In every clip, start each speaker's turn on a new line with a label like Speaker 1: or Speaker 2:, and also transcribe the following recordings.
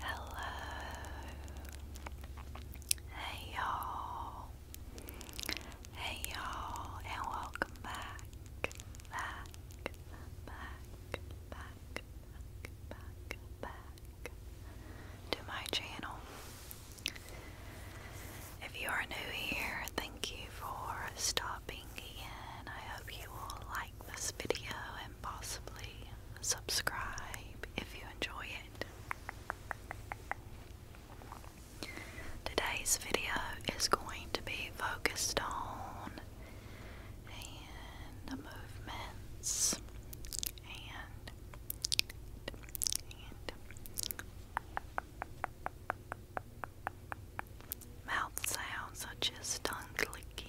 Speaker 1: Hello. Hey y'all. Hey y'all and welcome back. Back. Back. Back back, back to my channel. If you are new here, thank you for stopping in. I hope you will like this video and possibly subscribe if you enjoy it. Today's video is going to be focused on the movements and mouth sounds such as tongue clicking,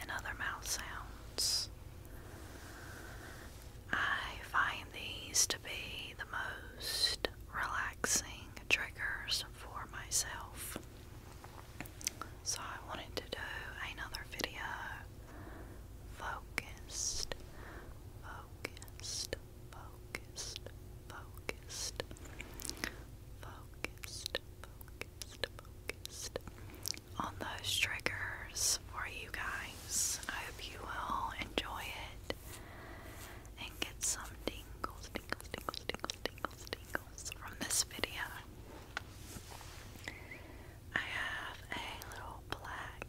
Speaker 1: and other mouth sounds. I find these to be the most relaxing triggers for myself. So I wanted to do another video focused, focused, focused, focused, focused, focused, focused on those triggers for you guys. I hope you will enjoy it and get some tingles, tingles, tingles, tingles, tingles, tingles from this video. I have a little black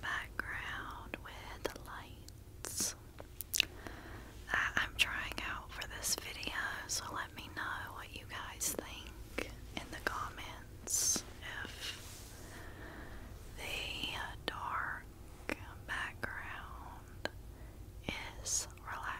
Speaker 1: background with lights I'm trying out for this video, so let me know what you guys think in the comments if the dark background is relaxing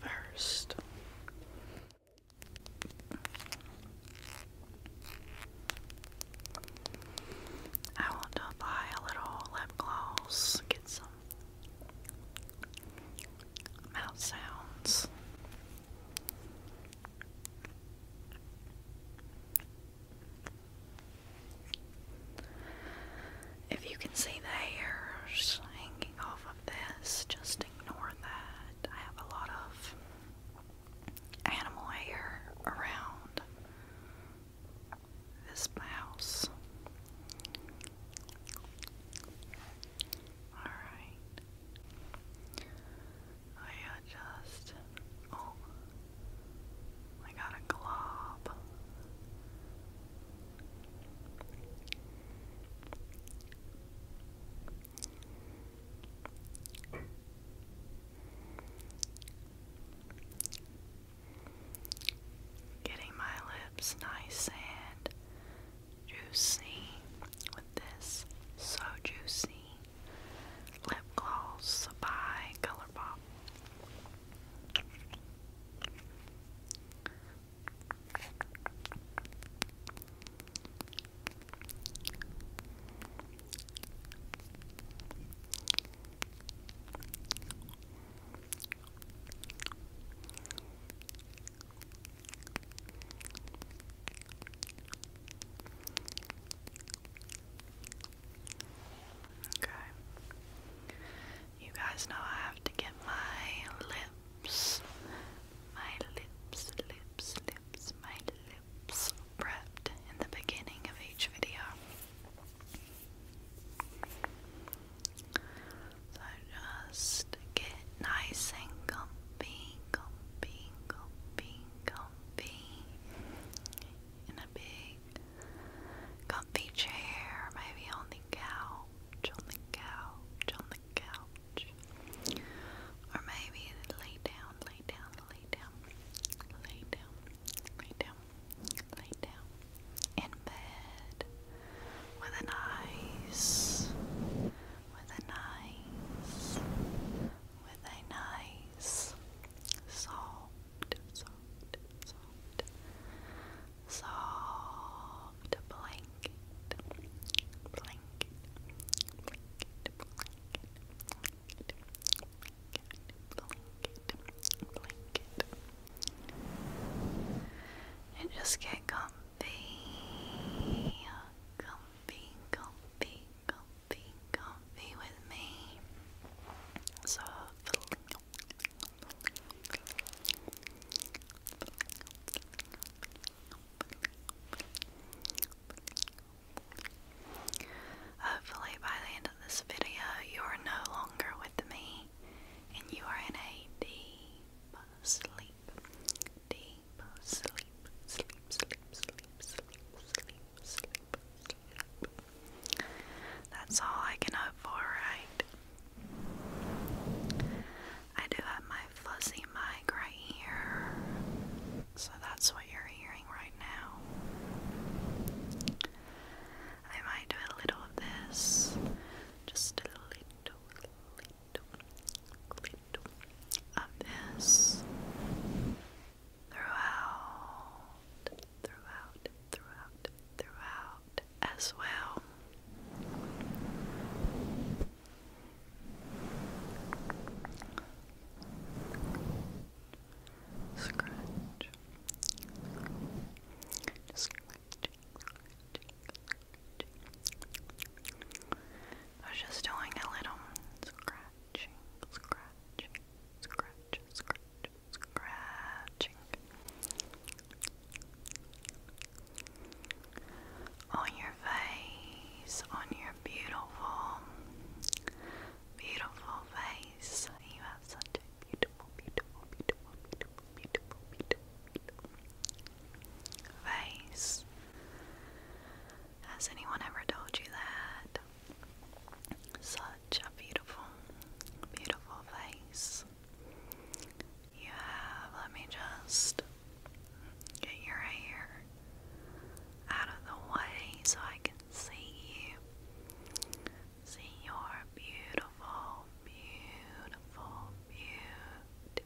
Speaker 1: First, I want to buy a little lip gloss, get some mouth sounds. If you can see the hairs hanging off of this, just ignore that. I have a lot of animal hair around this mouse. Alright. I adjust. Oh, I got a glob. Getting my lips nice and juicy with this So Juicy lip gloss by ColourPop. You guys know I have to get my lips, my lips, lips, lips, my lips prepped in the beginning of each video. So I just get nice and comfy, comfy, comfy, comfy in a big comfy chair, maybe on the couch, on the couch, on the couch. Or maybe lay down, lay down, lay down, lay down, lay down, lay down in bed with a nice with a nice, with a nice, soft, soft, soft, soft blanket, blanket, blanket, blanket, blanket, blanket, blanket, blanket, and just get comfy comfy, comfy, comfy, comfy, comfy with me. So Hopefully, by the end of this video, you are no longer with me and you are in a deep sleep. Deep sleep, sleep, sleep, sleep, sleep, sleep, sleep, sleep, sleep. That's all I can hope for, right? I do have my fuzzy mic right here, so that's what you're hearing right now. I might do a little of this, just a little, clip of this throughout, throughout, throughout, throughout as well. Scratch. Scratch. I was just doing a little scratching, scratching, scratch, scratch, scratching. On your face, on your beautiful, beautiful face. You have such a beautiful, beautiful, beautiful, beautiful, beautiful, beautiful face. Has anyone ever told you that? Such a beautiful, beautiful face. You have, let me just get your hair out of the way so I can see you. See your beautiful, beautiful, beautiful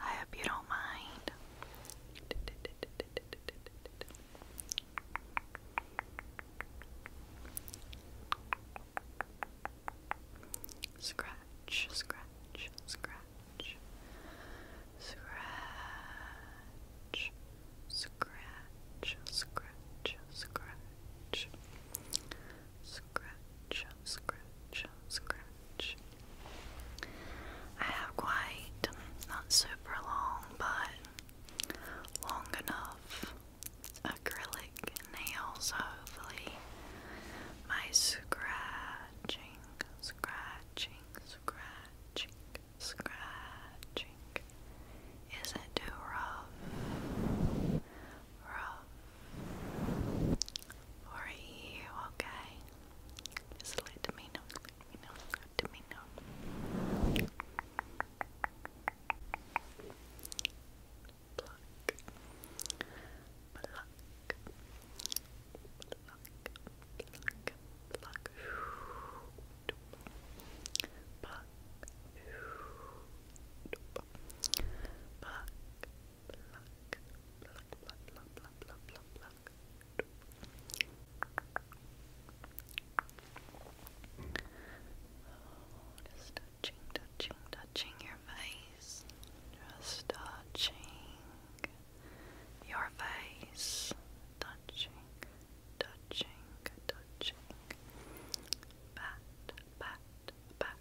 Speaker 1: I hope you don't mind. Scratch, scratch, scratch. Scratch, scratch, scratch, scratch, scratch, scratch, scratch. I have quite, not super long, but long enough acrylic nails, hopefully. My scratching, scratching, scratching scratching. Is it too rough? Rough for you, okay? Just let me know, let me know, let me know. Pluck, pluck, pluck, pluck, pluck just touching, touching, touching your face. Just touching your face. Touching, touching, touching, pat, pat, pat.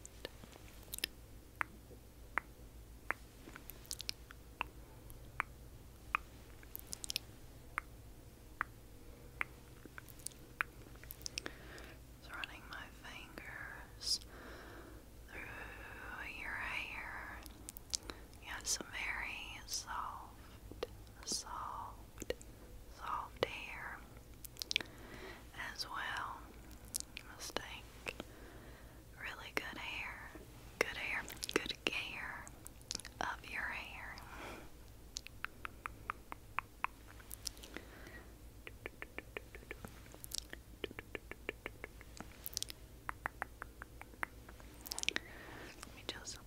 Speaker 1: running my fingers through your hair. You have some very soft, soft, soft hair as well. You really good hair, good hair, good care of your hair. Let me just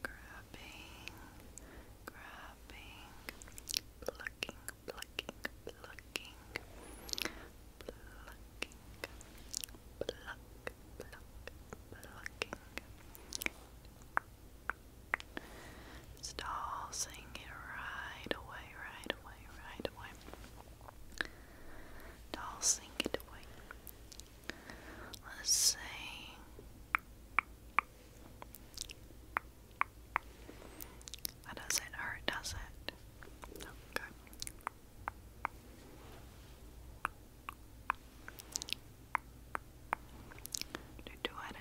Speaker 1: Grabbing, grabbing, plucking, plucking, plucking, plucking, pluck, pluck, plucking. Start singing right away, right away, right away. Doll sing it away. Let's sing. That doesn't hurt, does it? Okay. Do two at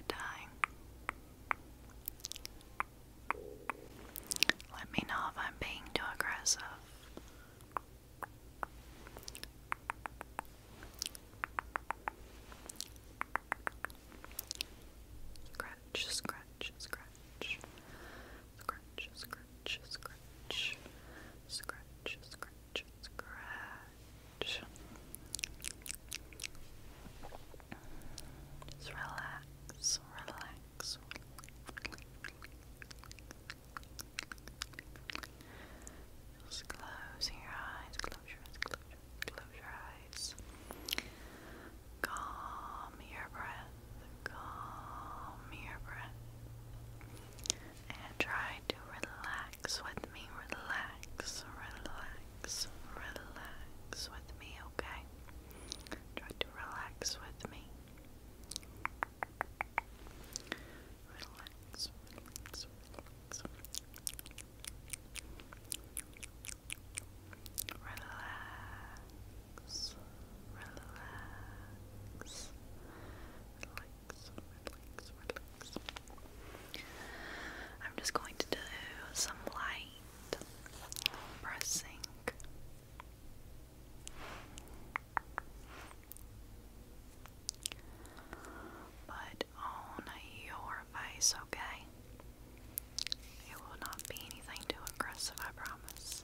Speaker 1: Let me know if I'm being too aggressive. Scratch, scratch, scratch, scratch, scratch, scratch, scratch, scratch, scratch, scratch. Just relax, relax. Just close your eyes, close your eyes, close your eyes, Calm your breath the calm your breath and try to relax with me. Relax, relax, relax with me, okay? Try to relax with me. relax, relax. Relax relax, relax, relax, relax. I'm just going to do some light pressing. But on your face, okay? It will not be anything too aggressive, I promise.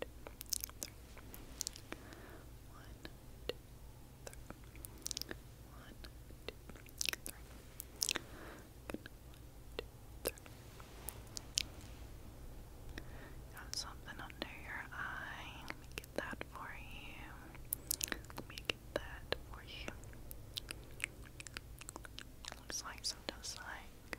Speaker 1: two, three. One, two, three. One, two, three. Good. One, two, three. Got something under your eye. Let me get that for you. Let me get that for you. Looks like some does like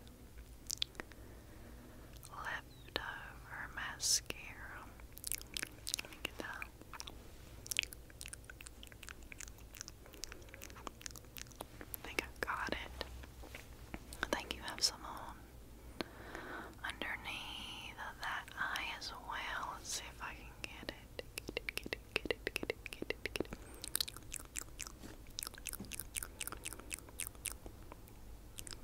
Speaker 1: leftover mascara. Let me that. think I got it. I think you have some on underneath that eye as well. Let's see if I can get it.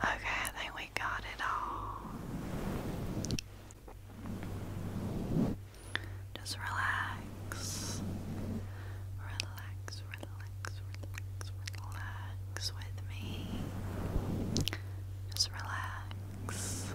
Speaker 1: Okay, I think we got it all. Just relax. Relax, relax, relax, with me. Just relax.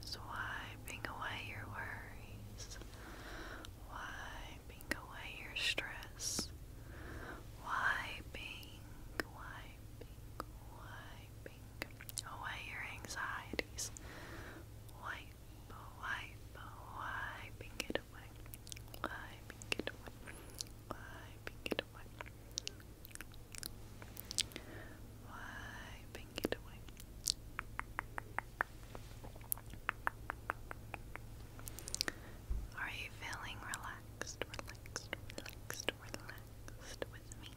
Speaker 1: Swiping away your worries, wiping away your stress, wiping, wiping wiping away your anxieties. Wipe, wipe, wiping it away. Wiping it away. Wiping it away. Wiping it away. Are you feeling relaxed, relaxed, relaxed? relaxed, with me?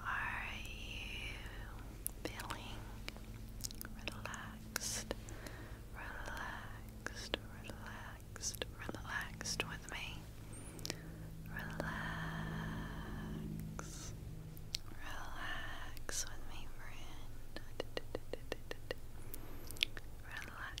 Speaker 1: Are you feeling relaxed, relaxed, relaxed, relaxed with me? Relax, relax with me, friend. Relax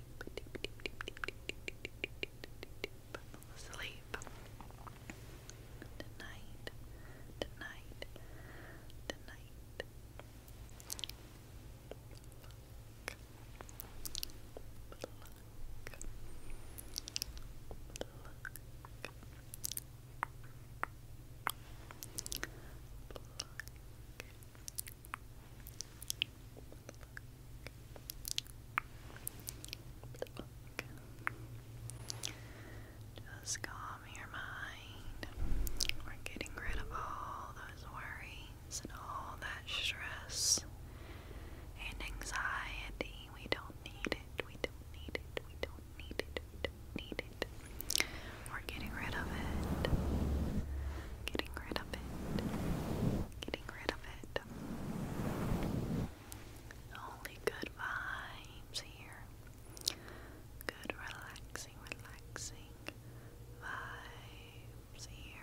Speaker 1: deep, deep, deep, deep, sleep. Tonight, tonight, tonight. Just calm your mind. We're getting rid of all those worries and all that stress and anxiety. We don't need it. We don't need it. We don't need it. We don't need it. We're getting rid of it. Getting rid of it getting rid of it. Only good vibes here. Good relaxing, relaxing vibes here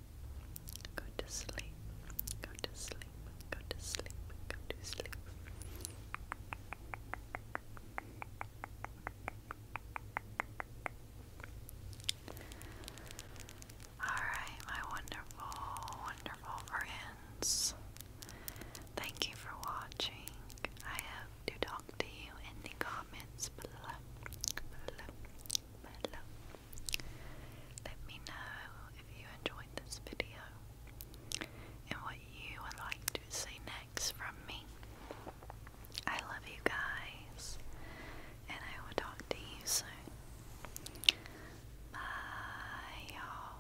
Speaker 1: Go to sleep. Go to sleep. Go to sleep. Go to sleep. Alright, my wonderful, wonderful friends. Thank you for watching. I have to talk to you in the comments below. Below. Below. Let me know if you enjoyed this video and what you would like to see next from me. I love you guys and I will talk to you soon. Bye y'all.